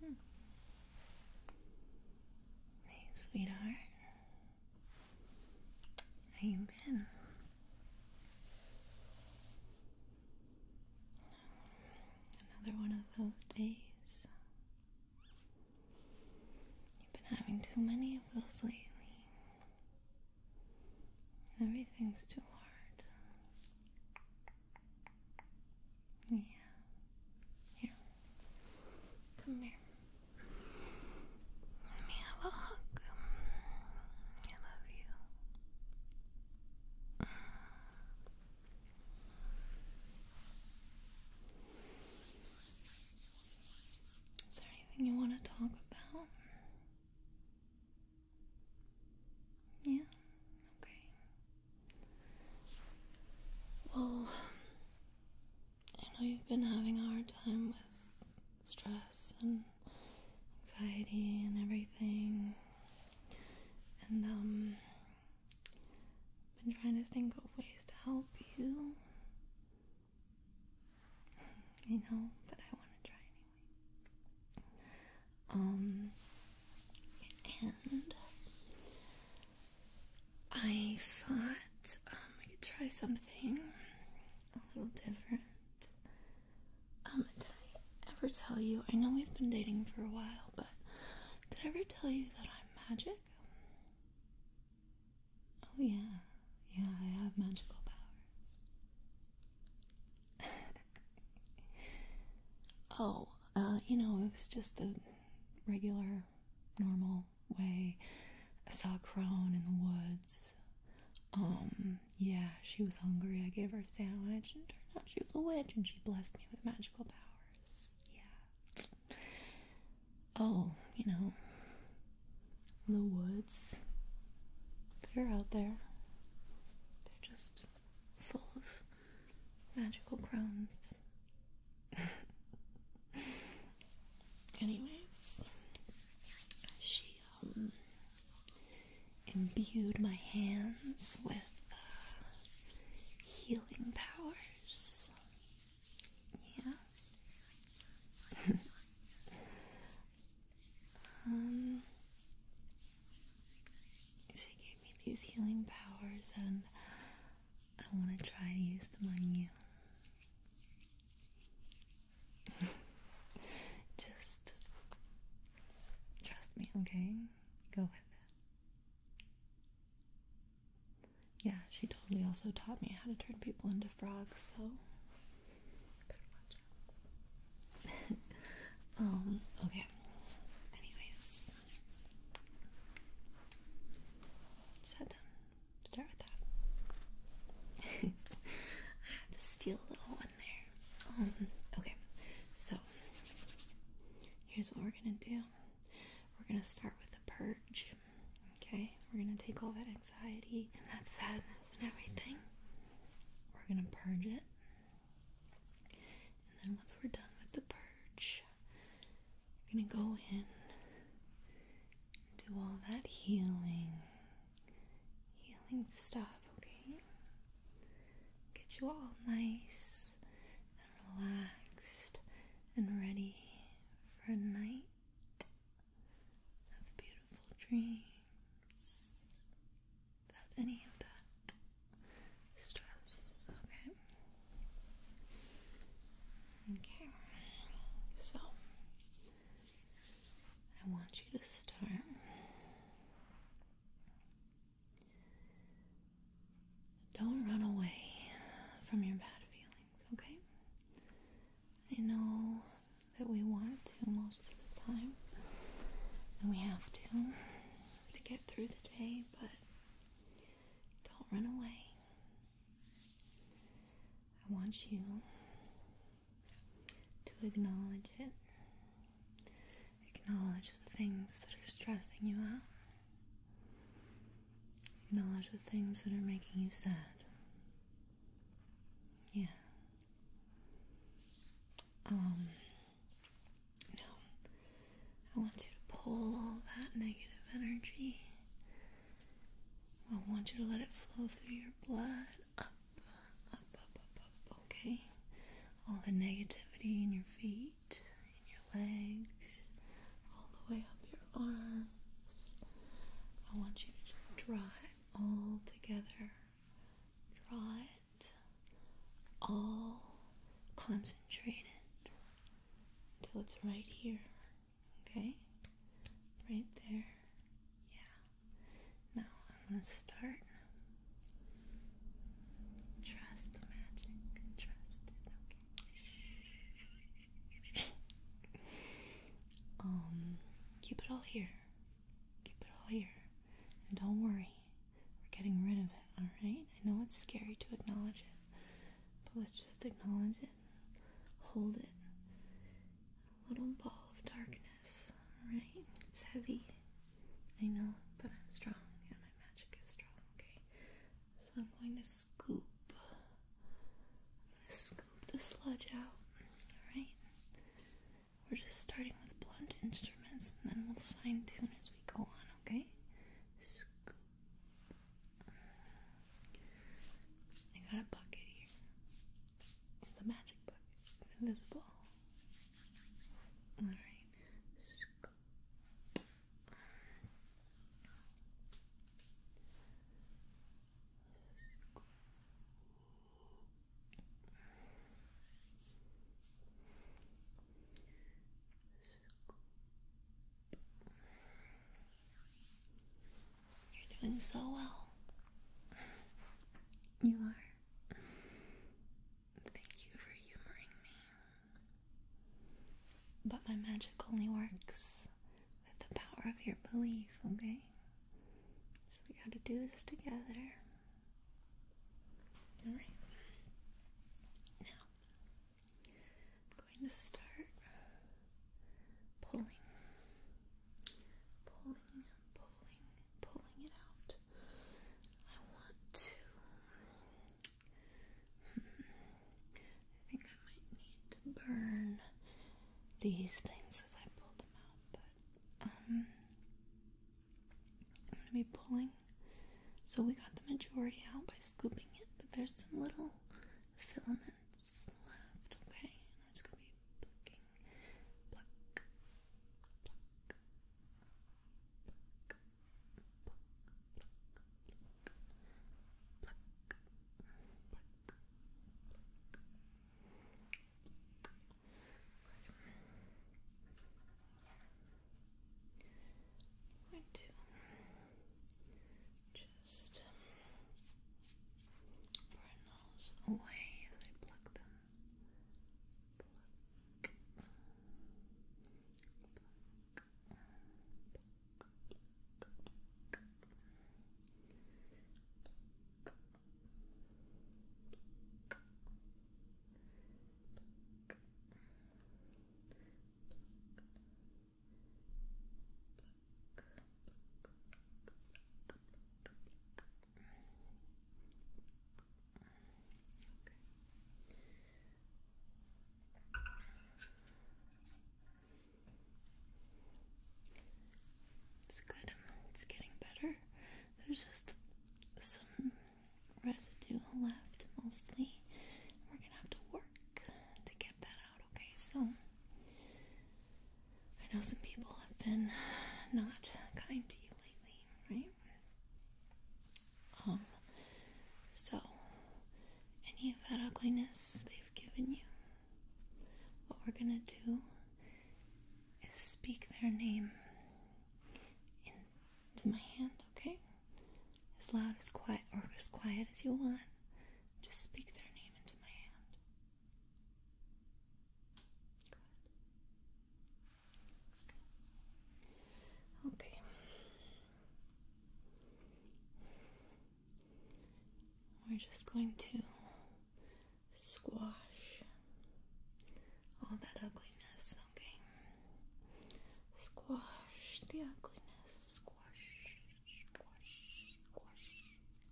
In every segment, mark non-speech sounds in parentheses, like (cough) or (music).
Hmm. Hey, sweetheart. How you been? Another one of those days. You've been having too many of those lately. Everything's too hard. Yeah. Here. Come here. Let me have a hug. I love you. Is there anything you want to talk about? Yeah, okay. Well, I know you've been having a hard time with stress and anxiety and everything. And, um, been trying to think of ways to help you. I know, but I want to try um, and I thought um, I could try something a little different. Um, did I ever tell you? I know we've been dating for a while, but did I ever tell you that I'm magic? Oh, yeah, yeah, I have magical powers oh, uh, you know, it was just the regular, normal way. I saw a crone in the woods. Um, yeah, she was hungry. I gave her a sandwich, and turned out she was a witch, and she blessed me with magical powers. Yeah. Oh, you know, the woods. They're out there. They're just full of magical crowns. (laughs) Anyways, she um, imbued my hands with uh, healing powers. Yeah. (laughs) Um, she gave me these healing powers, and I want to try to use them on you. (laughs) Just trust me, okay? Go with it. Yeah, she totally also taught me how to turn people into frogs, so (laughs) um, okay. Anyways. Start with that. (laughs) I had to steal a little one there. Um, okay. So here's what we're gonna do. We're gonna start with the purge. Okay, we're gonna take all that anxiety and that sadness and everything. We're gonna purge it and then once we're done with the purge, we're going to go in do all that healing, healing stuff, okay? Get you all nice and relaxed and ready for a night of beautiful dreams without any of that stress. Okay. Okay. So I want you to start don't run away from your bad feelings, okay? I know that we want to most of the time, and we have to to get through the day, but don't run away. I want you to acknowledge it, acknowledge the things that are stressing you out. Acknowledge the things that are making you sad. Yeah. Um, no, I want you to pull all that negative energy. I want you to let it flow through your blood up, up, up, up, up, okay? All the negativity in your feet, in your legs, all the way up your arms. I want you to just draw it all together. Draw it all concentrated until it's right here. Okay? Right there. Yeah. Now I'm going to start. Trust the magic. Trust it. Okay. (laughs) um, keep it all here. Keep it all here. And don't worry, we're getting rid of it, alright? I know it's scary to acknowledge it, but let's just acknowledge it. Hold it. A little ball of darkness, alright? It's heavy. I know, but I'm strong and my magic is strong, okay? So I'm going to scoop. scoop the sludge out, alright? We're just starting with blunt instruments and then we'll fine tune as we go on, okay? Scoop. I got a bucket here. It's a magic bucket. It's invisible. Alright. Scoop. You're doing so well. You are. Thank you for humoring me. But my magic only works with the power of your belief, okay? So we gotta do this together. Alright. Now, I'm going to start pulling, pulling, pulling, pulling it out. I want to. I think I might need to burn these things as I pull them out, but um, I'm gonna be pulling. So we got the majority out by scooping it, but there's some little filaments left, okay? I'm just gonna be plucking, pluck, pluck, pluck, pluck, pluck, pluck, pluck, pluck, pluck, pluck. I'm just burn those away as I pluck them. It's good. It's getting better. There's just some residue left mostly. We're gonna have to work to get that out, okay? So, I know some people have been not kind to you lately, right? Um, so any of that ugliness they've given you, what we're gonna do speak their name into my hand, okay? As loud as quiet or as quiet as you want. Just speak their name into my hand. Okay. We're just going to squash all that ugliness, okay? Squash the ugliness, squash, squash, squash,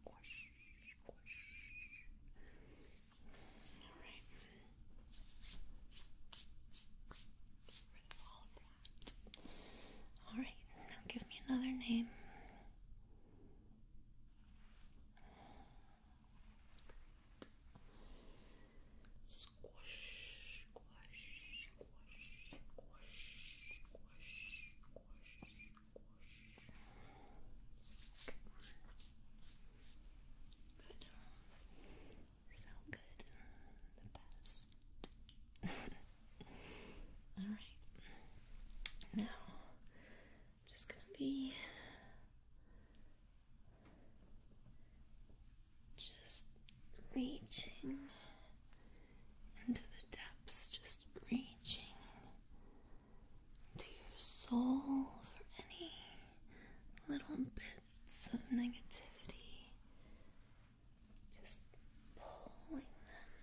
squash, squash. Alright. Alright, now give me another name. Squash, squash, squash, squash, squash, squash, squash. Good. (laughs) So good. The best. (laughs) Alright. Now I'm just going to be just reaching into the depths, just reaching to your soul for any little bits of negativity, just pulling them.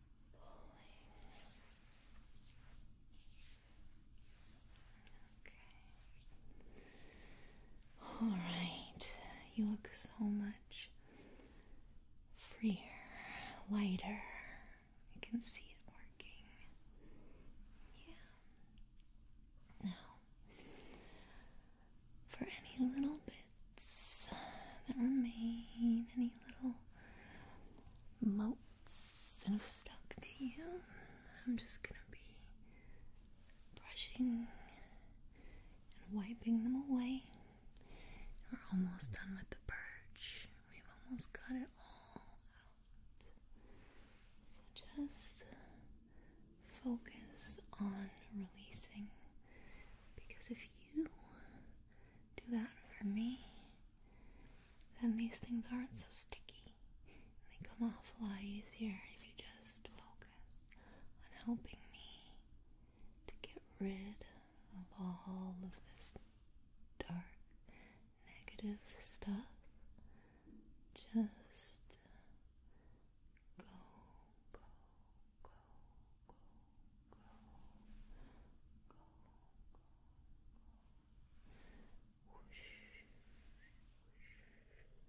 Okay. All right. You look so much freer, lighter. I can see it working. Yeah. Now, for any little bit that remain, any little motes that have stuck to you. I'm just gonna be brushing and wiping them away. We're almost done with the purge. We've almost got it all out. So just focus on releasing because if you do that for me, then these things aren't so sticky. And they come off a lot easier if you just focus on helping me to get rid of all of this dark, negative stuff. Just go, go, go, go, go, go, go, go. Whoosh, whoosh, whoosh, whoosh,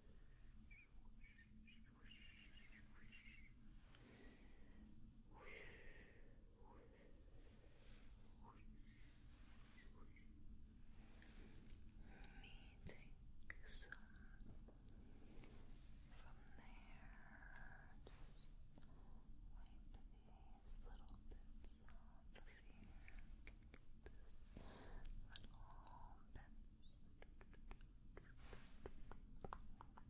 whoosh, whoosh, whoosh, whoosh. Let me take some from there hair. Just wipe these little bits off of here. little bits. Stuff. Wiping, wiping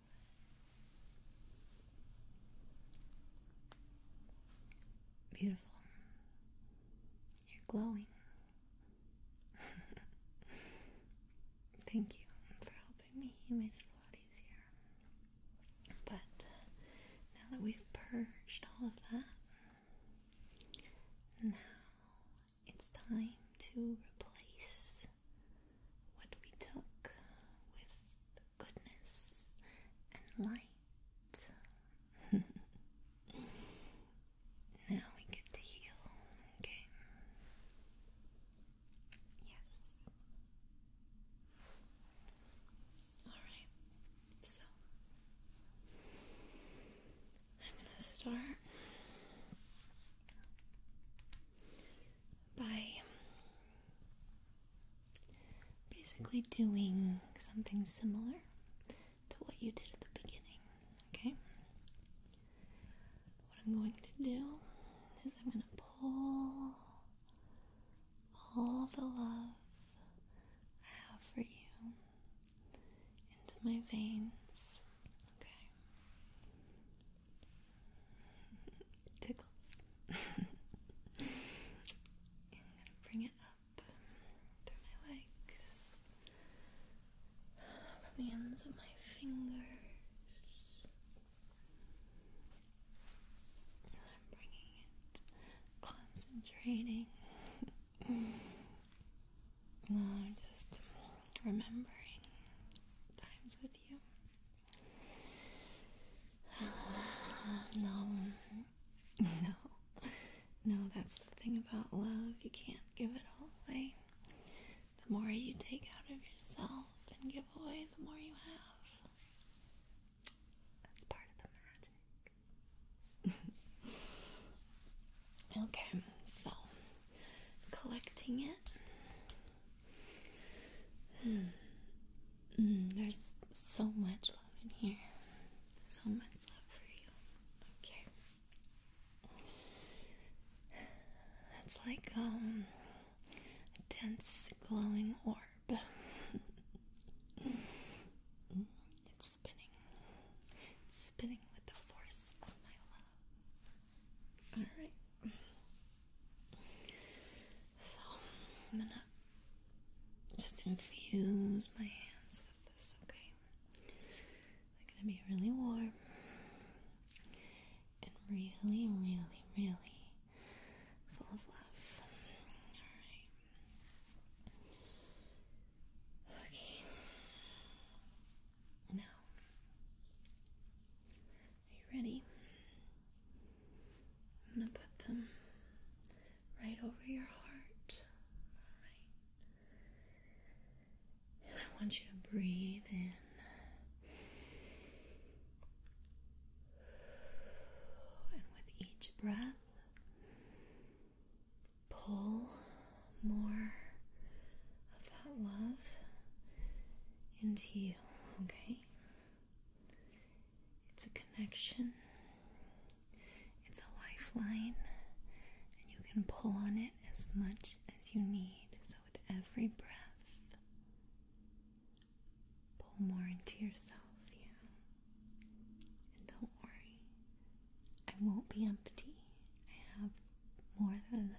Beautiful. You're glowing. (laughs) Thank you for helping me. You made it a lot easier. But uh, now that we've purged all of that, now it's time to replace what we took with goodness and light. (laughs) now we get to heal, okay? Yes. Alright, so I'm going to start by basically doing something similar to what you did at the beginning, okay? What I'm going to do is I'm going to pull all the love I have for you into my veins, okay? (laughs) Tickles. I'm gonna bring it up through my legs, from the ends of my fingers. And I'm bringing it, concentrating. No, (laughs) just remembering times with you. (sighs) no, (laughs) no, no, that's the thing about love. You can't give it all away. The more you take out of yourself and give away, the more you have. That's part of the magic. (laughs) okay, so collecting it Mm, there's so much love in here. So much love for you. Okay. That's like um, a dense glowing orb. (laughs) it's spinning. spinning with the force of my love. All right. So I'm gonna just infuse my hands with this. Okay, they're gonna be really warm and really, really, really full of love. All right. Okay. Now, are you ready? I'm going to put them right over your heart. And I want you to breathe in. And with each breath, pull more of that love into you, okay? It's a connection, it's a lifeline, and you can pull on it as much as you need. So, with every breath, pull more into yourself, yeah? And don't worry, I won't be empty. I have more than enough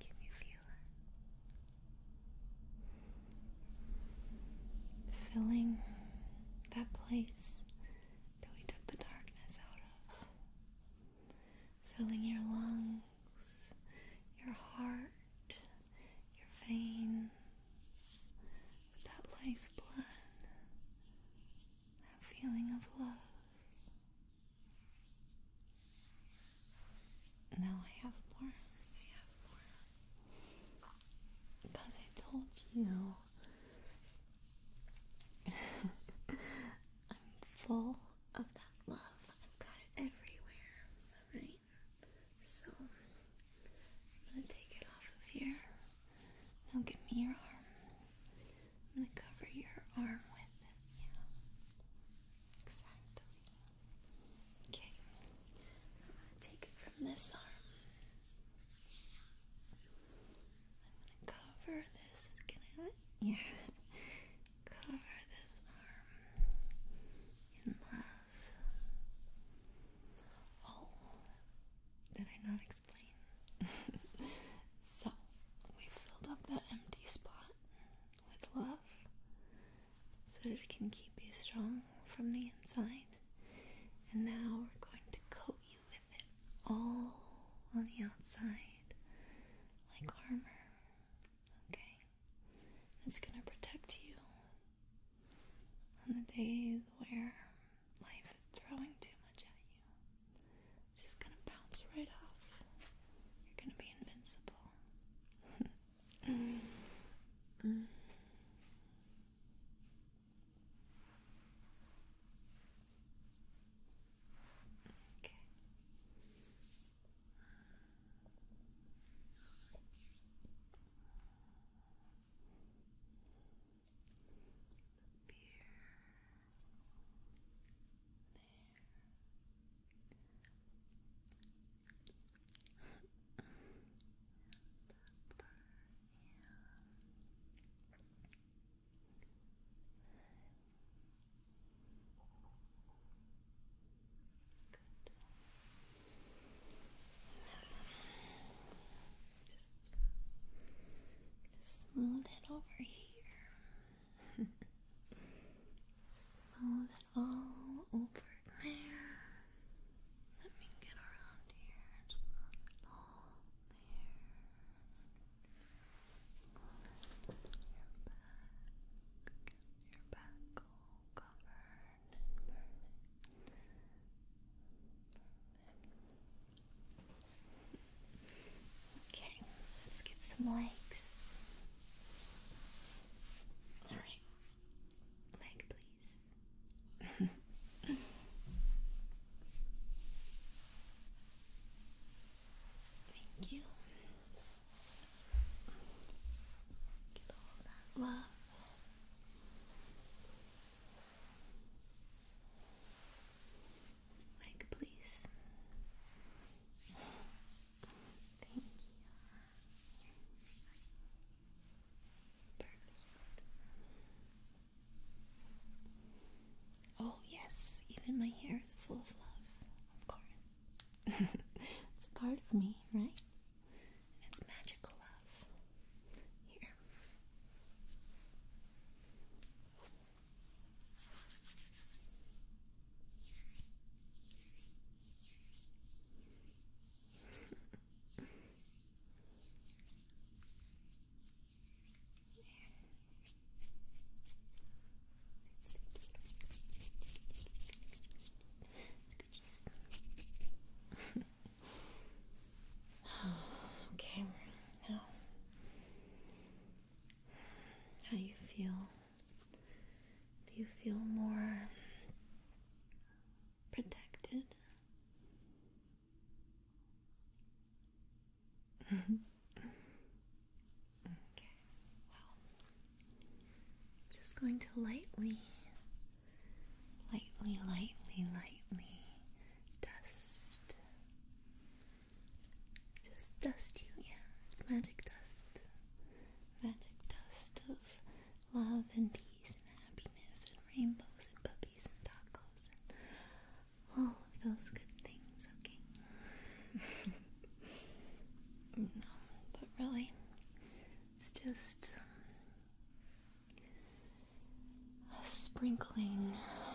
Can you feel it? Filling that place that we took the darkness out of. Filling your lungs, your heart, your veins, it's that blood, that feeling of love. Now I have more. I have more. Because I told you (laughs) I'm full of that love. I've got it everywhere. Alright? So I'm gonna take it off of here. Now give me your arm. I'm gonna cover your arm with it. Yeah. Exactly. Okay. I'm gonna take it from this arm. I'm gonna cover this. Yeah. (laughs) cover this arm in love. Oh, did I not explain? (laughs) so, we filled up that empty spot with love so it can keep you strong from the inside. And now we're going to coat you with it all on the outside, like armor. Okay? It's going to protect you on the days where life is throwing too much at you, it's just gonna bounce right off. You're gonna be invincible. Okay the beer there and the yeah and just smooth it over here. (laughs) smooth it all over there. Let me get around here smooth it all there. Your back, your back all covered. Okay, let's get some legs. Alright, leg please. (laughs) Thank you. love. Like, please. Thank you. Perfect. Oh, yes, even my hair is full of love, of course. (laughs) it's a part of me, right? It's magical love. Here. (laughs) (sighs) okay, now how do you feel? Do you feel more protected? (laughs) okay, well, I'm just going to lightly lightly, lightly, lightly dust. Just dust you, yeah. magic dust. Magic dust of love and peace and happiness and rainbows and puppies and tacos and all of those good things, okay? (laughs) no, but really, it's just a sprinkling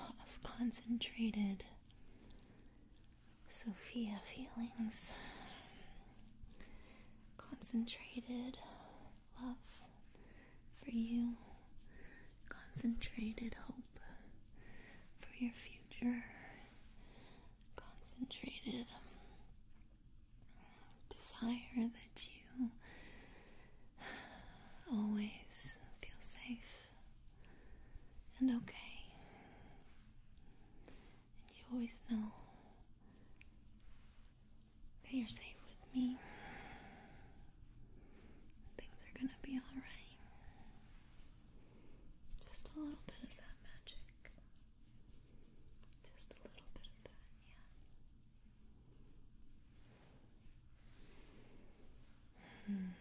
of concentrated Sophia feelings, concentrated love for you, concentrated hope for your future, concentrated desire that you always feel safe and okay. And you always know that you're safe with me. Things are gonna be alright. Just a little bit of that magic. Just a little bit of that. Hmm.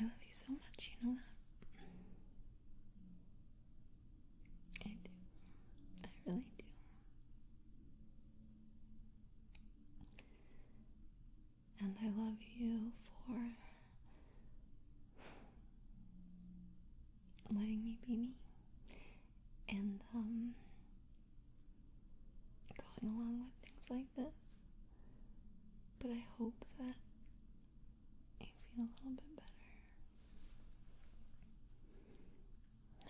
I love you so much, you know that? I do. I really do. And I love you for letting me be me and um going along with things like this. But I hope that you feel a little bit better.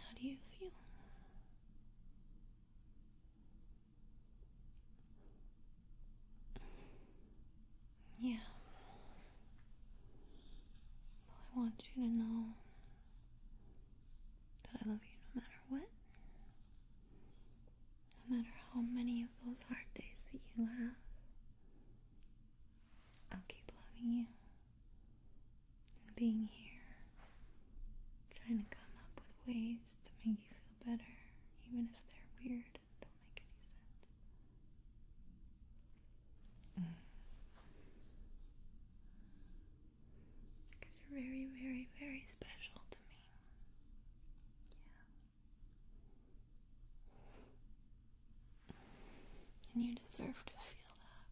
How do you feel? Yeah. I want you to know that I love you no matter what. No matter how many of those hard days that you have, I'll keep loving you and being here, trying to come up with ways to make you feel better, even if they're weird. Don't make any sense. Because you're very, very, very special to me. Yeah. And you deserve to feel that.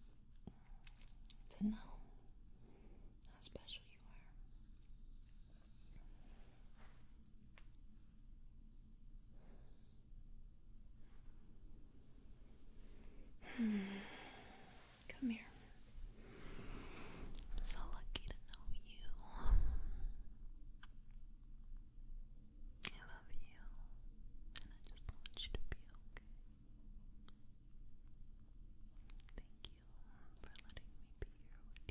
To know how special you are. (sighs) Come here. I'm so lucky to know you. I love you. And I just want you to be okay. Thank you for letting me be here with you.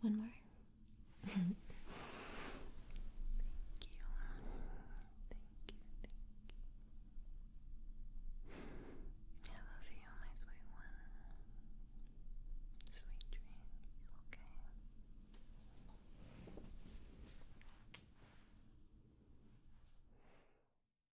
One more. Thank you. Thank you. I love you, my sweet one. Sweet dreams, okay.